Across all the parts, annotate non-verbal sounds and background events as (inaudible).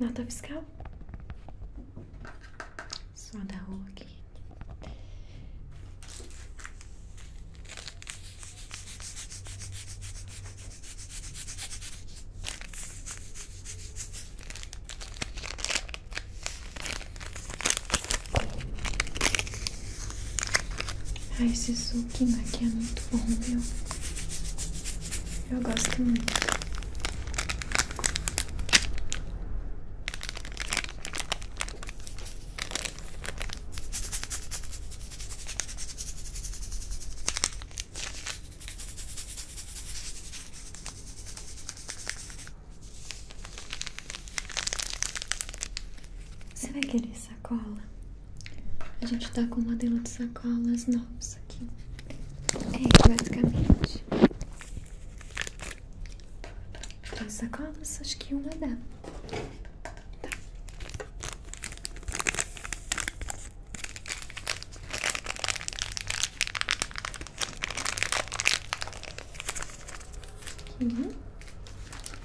Nota fiscal? Só da rua aqui. Ah, esse sukimaki é muito bom, viu? Eu gosto muito. Você vai querer saber? cola A gente tá com um modelo de sacolas novas aqui. É, basicamente. Três sacolas, acho que uma dá. Tá. Uhum.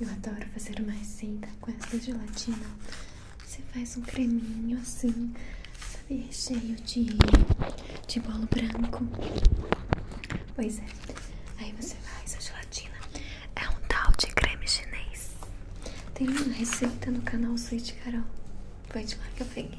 Eu adoro fazer uma receita com essa gelatina. Você faz um creminho assim, sabe, recheio de, de bolo branco. Pois é. Aí você faz a gelatina. É um tal de creme chinês. Tem uma receita no canal Sweet Carol. Foi de lá que eu peguei.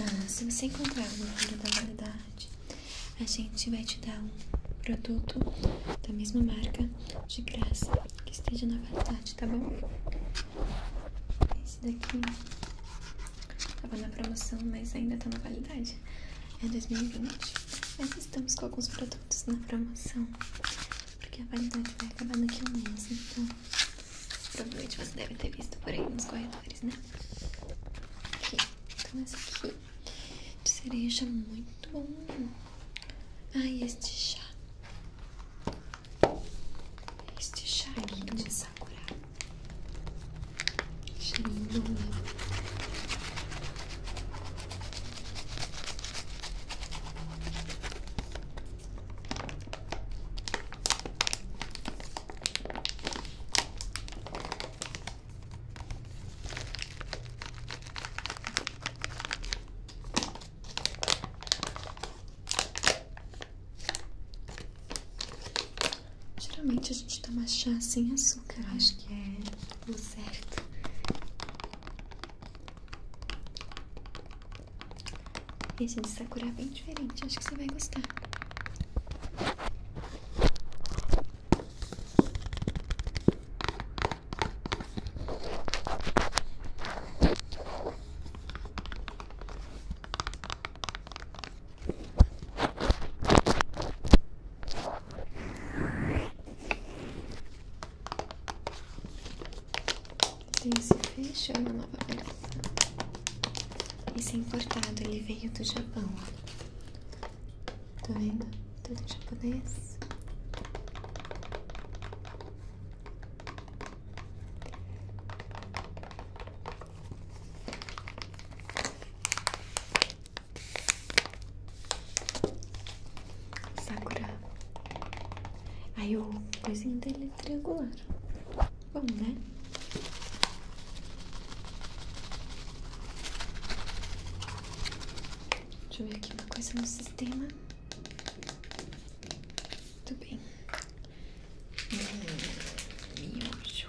Ah, se você encontrar uma fora da validade, a gente vai te dar um produto da mesma marca de graça que esteja na validade, tá bom? Esse daqui tava na promoção, mas ainda tá na validade. É 2020. Mas estamos com alguns produtos na promoção. Porque a validade vai acabar daqui a um mês, então Provavelmente você deve ter visto por aí nos corredores, né? Aqui. Então, esse aqui de cereja, é muito bom. Ai, ah, este chá. Este chá aqui de sakura. Cheirinho bom, né? Geralmente a gente toma chá sem açúcar, né? acho que é o certo. Esse de Sakura é bem diferente, acho que você vai gostar. Esse fecho é uma nova peça. Esse é importado, ele veio do Japão. Tá vendo? Tudo japonês. Sakura. Aí o coisinho dele é triangular. Bom, né? Deixa eu ver aqui uma coisa no sistema. Muito bem. Hum, Miojo.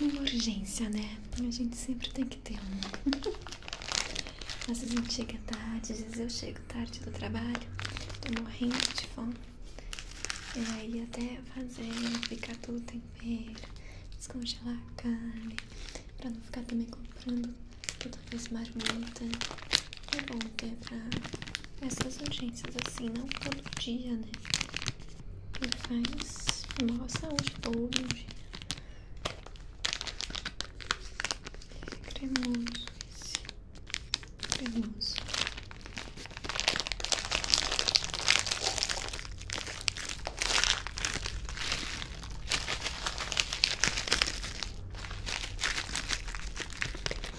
uma urgência, né? A gente sempre tem que ter um. (laughs) Às vezes a gente tarde, às vezes eu chego tarde do trabalho, tô morrendo de fome. E aí até fazer, ficar tudo tempero, descongelar a carne, pra não ficar também comprando toda vez marmita. É bom ter pra essas urgências assim, não todo dia, né? E faz boa saúde todo dia. cremoso esse. Cremoso.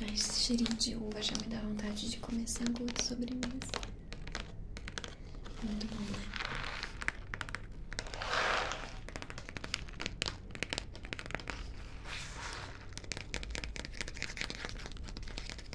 Ai, esse cheirinho de uva já me dá vontade de começar sangue de sobremesa. Muito bom, né?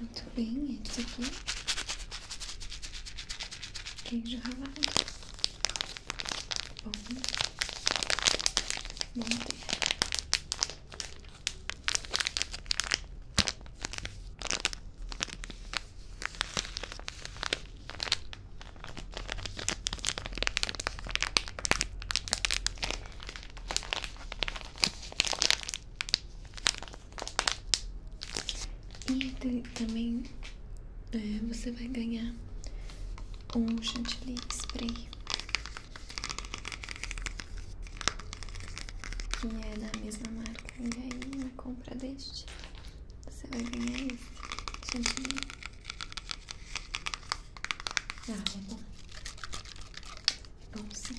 Muito bem, esse aqui. Queijo ralado. Bom, bom e também é, você vai ganhar um chantilly spray que é da mesma marca e aí na compra deste você vai ganhar esse chantilly ah, é bom é bom sim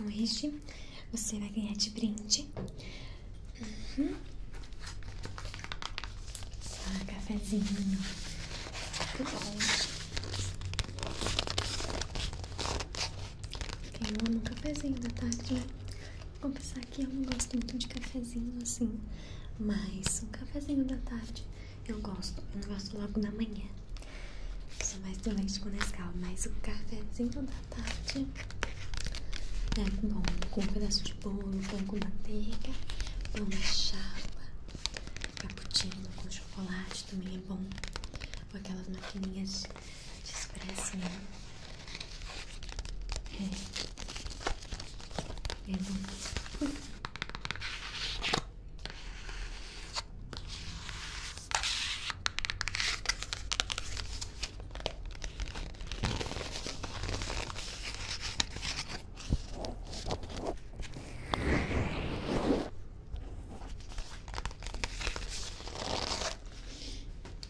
Então, este você vai ganhar de brinde Uhum. um ah, cafezinho. Muito bom. Quem ama um cafezinho da tarde, Vou pensar que eu não gosto muito de cafezinho assim, mas um cafezinho da tarde eu gosto. Eu não gosto logo da manhã. Eu sou mais do leite com Nescau, mas o cafezinho da tarde é bom, com um pedaço de bolo, pão com manteiga, pão de chapa, cappuccino com chocolate também é bom, ou aquelas maquininhas de expresso, né? É, é bom.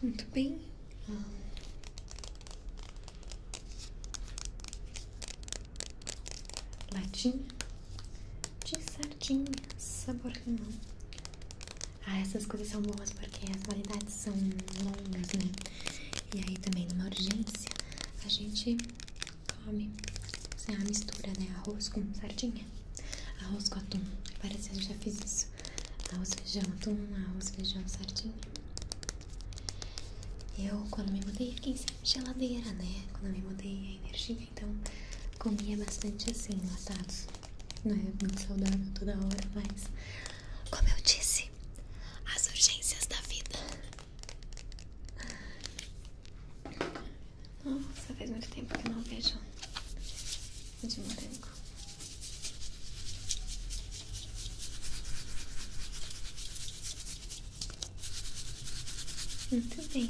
Muito bem. Latinha de sardinha, sabor limão. Ah, essas coisas são boas porque as validades são longas, né? E aí também numa urgência a gente come assim, a mistura, né? Arroz com sardinha, arroz com atum. É Parece que eu já fiz isso. Arroz, feijão, atum, arroz, feijão, sardinha. Eu, quando me mudei fiquei sempre geladeira, né? Quando me mudei a energia, então comia bastante assim, enlatados. né muito saudável toda hora, mas como eu disse, as urgências da vida. Nossa, faz muito tempo que não vejo de morango. Muito bem.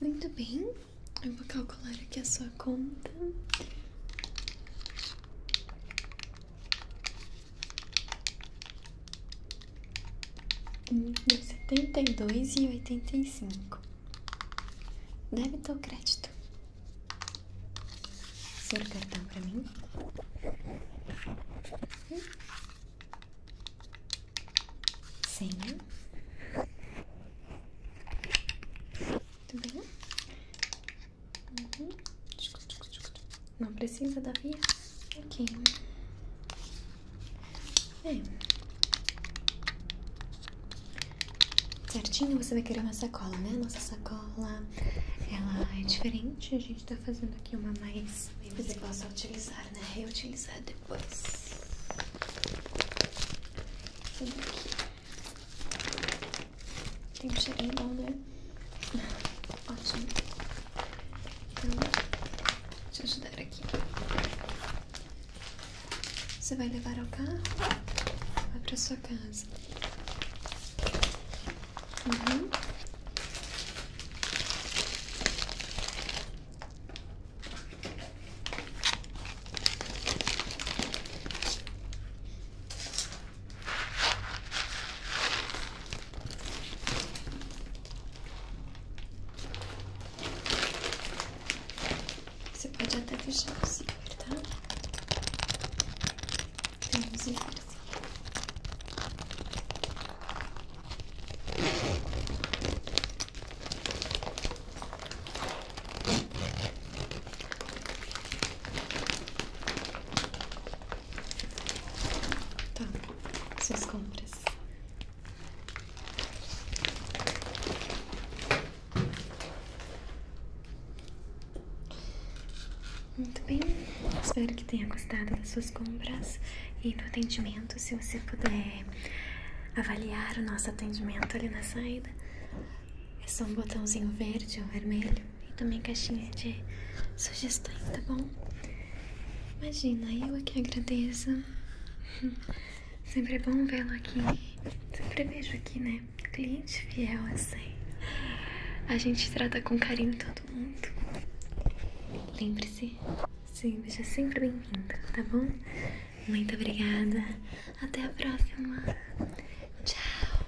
Muito bem, eu vou calcular aqui a sua conta. Setenta e dois e oitenta e cinco. Débito ou crédito? Seu cartão pra mim. Senha. Tudo bem? Não precisa da via? Ok. É. Certinho, você vai querer uma sacola, né? Nossa sacola, ela é diferente. A gente tá fazendo aqui uma mais... Você possa utilizar, né? Reutilizar depois. Tem um cheirinho bom, né? (laughs) Ótimo. Então, deixa eu ajudar aqui. Você vai levar ao carro? Vai pra sua casa. Uhum. Você pode até fechar o zíper, tá? Tem um assim. Tá, suas compras. Muito bem, espero que tenha gostado das suas compras e do atendimento. Se você puder avaliar o nosso atendimento ali na saída, é só um botãozinho verde ou vermelho e também caixinha de sugestões, tá bom? Imagina, eu aqui agradeço. (laughs) Sempre é bom vê-lo aqui. Sempre vejo aqui, né? Cliente fiel assim. A gente trata com carinho todo mundo. Lembre-se, sim, seja sempre bem-vindo, tá bom? Muito obrigada. Até a próxima. Tchau.